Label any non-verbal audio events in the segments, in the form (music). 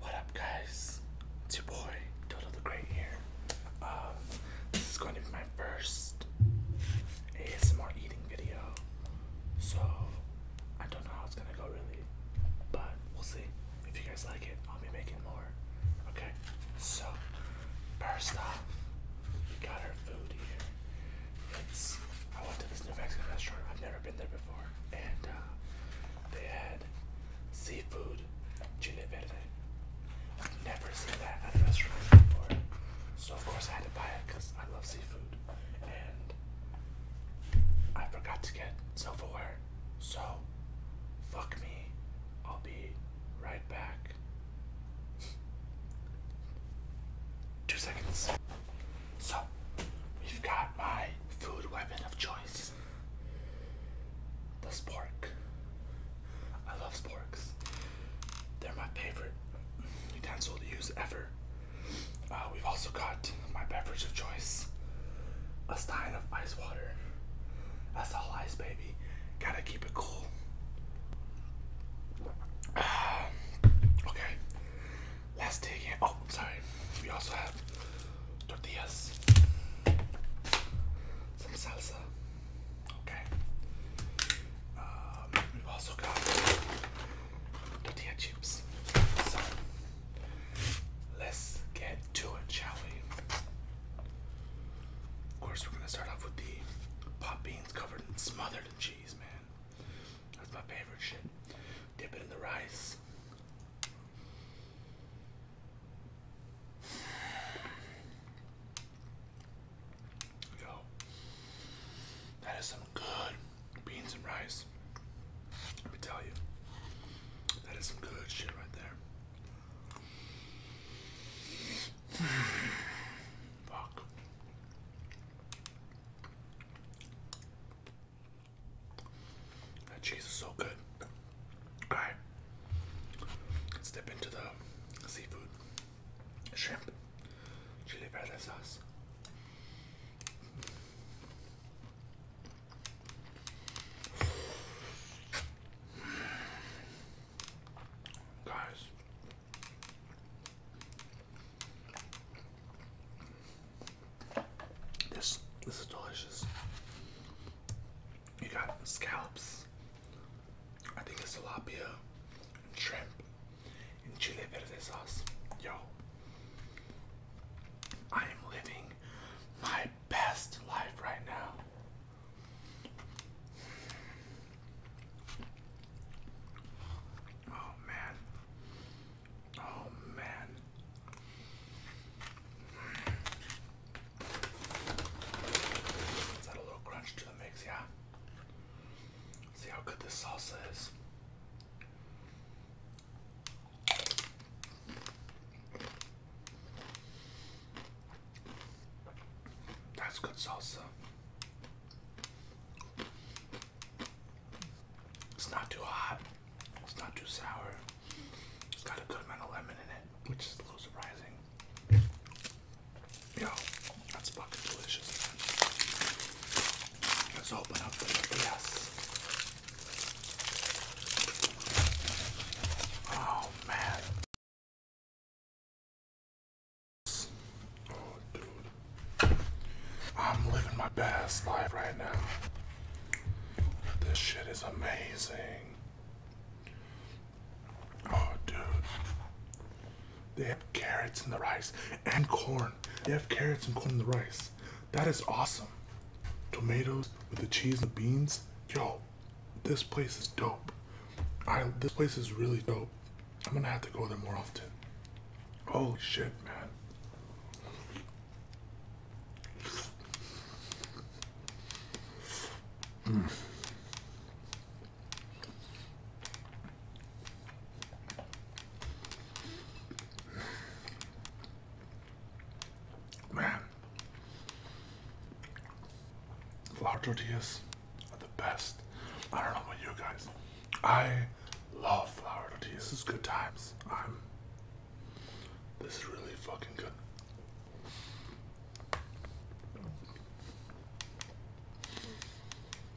What up, guys? It's your boy Toto the Great here. Um, this is going to be my first ASMR eating video, so I don't know how it's gonna go really, but we'll see. If you guys like it, I'll be making more. Okay, so first off, we got our food here. I went to this New Mexican restaurant. I've never been there before, and uh, they had seafood chile verde. never seen that at a restaurant before, so of course I had to buy it because I love seafood. And I forgot to get silverware, so fuck me. I'll be right back. Two seconds. So, we've got my food weapon of choice the spork. I love sporks, they're my favorite utensil to use ever. Uh, we've also got my beverage of choice a stein of ice water. That's all ice, baby. Gotta keep it cool. (sighs) okay, let's dig in. Oh, sorry. We also have tortillas, some salsa. Okay. Um, we've also got tortilla chips. So let's get to it, shall we? Of course, we're gonna start off with the pop beans covered and smothered in cheese, man. That's my favorite shit. Dip it in the rice. Yo, that is some good beans and rice. Let me tell you, that is some good shit right there. Fuck. That cheese is so good. Alright. let into the seafood. Shrimp. Chili verde sauce. Guys. This this is delicious. You got scallops. I think it's tilapia, and shrimp, and chile verde sauce. Yo, I am living my best life right now. Oh man. Oh man. Let's a little crunch to the mix, yeah. See how good this salsa is. That's good salsa. It's not too hot. It's not too sour. It's got a good amount of lemon in it, which is a little surprising. Yo, that's fucking delicious. Let's open up the yes. Oh man. Oh dude. I'm living my best life right now. This shit is amazing. Oh dude. They have carrots in the rice and corn. They have carrots and corn in the rice. That is awesome. Tomatoes with the cheese and the beans. Yo, this place is dope. this place is really dope. I'm gonna have to go there more often. Holy shit, man. Mm. Man, flour tortillas are the best. I don't know about you guys. I love flour tortillas. This is good times. I'm. This is really fucking good.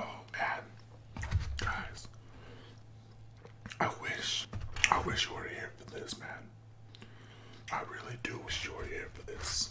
Oh man, guys, I wish, I wish you were here for this, man. I really do wish you were here for this.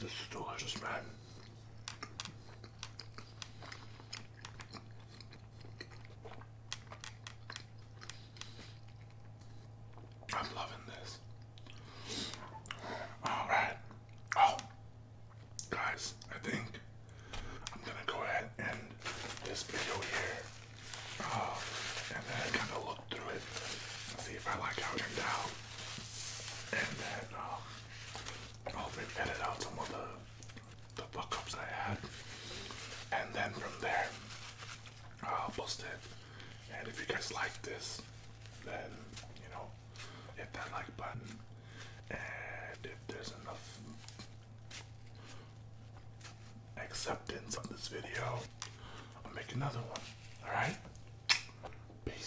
This is delicious, man. I'm loving this. All right. Oh, guys, I think I'm gonna go ahead and end this video here, uh, and then kind of look through it, see if I like how it turned out, and then uh, I'll oh, edit out some of the, the fuck I had. And then from there, I'll post it. And if you guys like this, then, you know, hit that like button. And if there's enough acceptance of this video, I'll make another one. Alright? Peace.